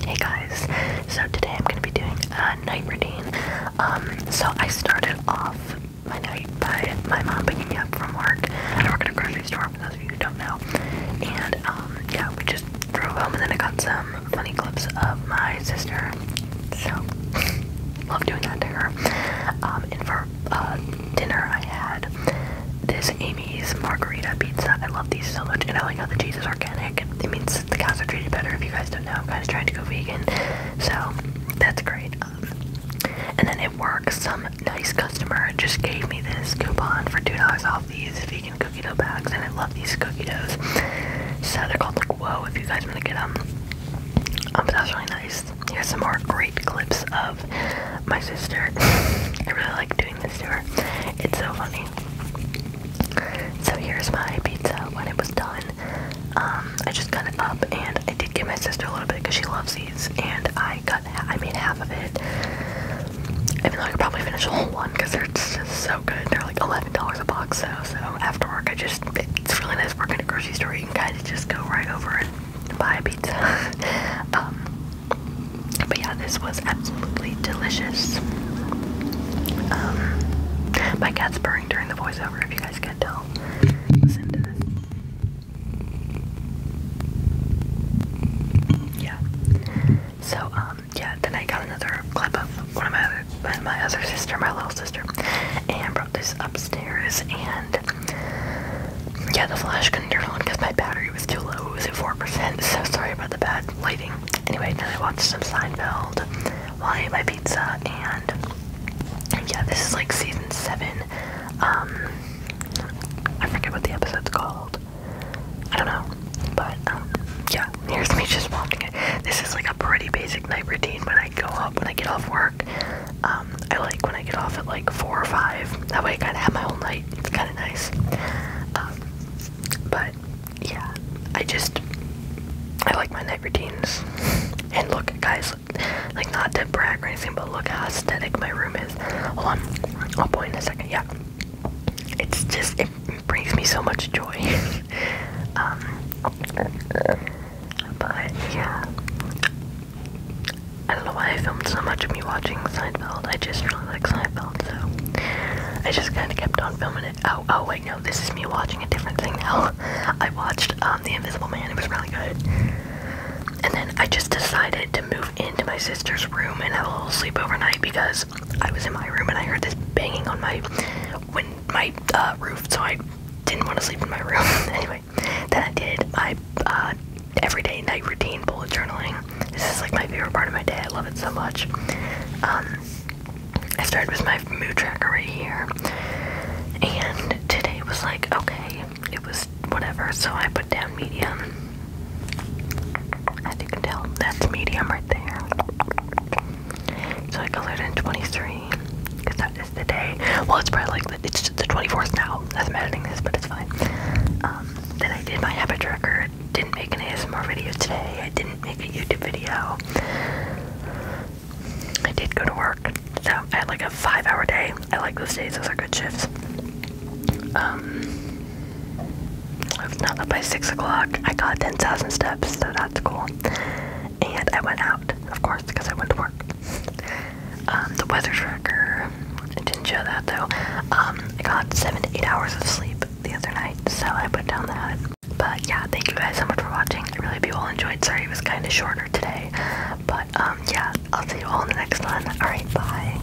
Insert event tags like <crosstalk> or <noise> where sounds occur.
Hey guys, so today I'm going to be doing a night routine. Um, so I started off my night by my mom picking me up from work. I work at a grocery store for those of you who don't know. And um, yeah, we just drove home and then I got some funny clips of my sister. So, <laughs> love doing that to her. Um, and for uh, dinner I had this Amy's margarita pizza. I love these so much, and I like how the cheese is organic. It means the cows are treated better. If you guys don't know, I'm kind of trying to go vegan, so that's great. Um, and then it work, some nice customer just gave me this coupon for two dollars off these vegan cookie dough bags, and I love these cookie doughs. So they're called like Whoa if you guys want to get them. Um, but that really nice. Here's some more great clips of my sister. <laughs> I really like doing this to her. It's so funny. So here's my pizza when it was done. Um, I just got it up and I did give my sister a little bit because she loves these and I cut I made half of it. Even though I could probably finish a whole one because they're just so good. They're like $11 a box though. So, after work I just, it's really nice working at a grocery store. You can kind of just go right over it buy <laughs> pizza. Um, but yeah, this was absolutely delicious. Um, my cat's purring during the voiceover, if you guys can tell. Listen to this. Yeah. So, um, yeah, then I got another clip of one of my other, my other sister, my little sister, and brought this upstairs and yeah the flash couldn't turn on because my battery was too low it was at 4% so sorry about the bad lighting anyway then I watched some Seinfeld while I ate my pizza and yeah this is like season 7 um I forget what the episode's called I don't know but um, yeah here's me just watching it this is like a pretty basic night routine when I go up when I get off work. Um, I like when I get off at like four or five. That way I kind of have my whole night. It's kind of nice. Um, but yeah, I just I like my night routines. And look, guys, like not to brag or anything, but look how aesthetic my room is. Hold on, I'll point in a second. Yeah, it's just it brings me so much joy. <laughs> Um, but yeah, I don't know why I filmed so much of me watching Seinfeld. I just really like Seinfeld, so I just kind of kept on filming it. Oh, oh wait, no, this is me watching a different thing now. <laughs> I watched um, The Invisible Man. It was really good. And then I just decided to move into my sister's room and have a little sleep overnight because I was in my room and I heard this banging on my when my uh, roof, so I didn't want to sleep in my room. <laughs> anyway, then I did my uh, everyday night routine bullet journaling. This is like my favorite part of my day. I love it so much. Um, I started with my mood tracker right here, and today was like okay, it was whatever. So I put down medium. As you can tell, that's medium right there. So I colored in 23, because that is the day. Well, it's probably like, it's the 24th now as I'm editing this, but it's fine. Um, then I did my habit tracker. Didn't make an ASMR video today. I didn't make a YouTube video. I did go to work. So I had like a five hour day. I like those days, those are good shifts. Um, it's now up by 6 o'clock. I got 10,000 steps, so that's cool. And I went out, of course, because I went to work. Um, the weather tracker, didn't show that though. Um, I got 7 to 8 hours of sleep the other night, so I put down the hood. But yeah, thank you guys so much for watching. I really hope you all enjoyed. Sorry it was kind of shorter today. But um, yeah, I'll see you all in the next one. Alright, bye.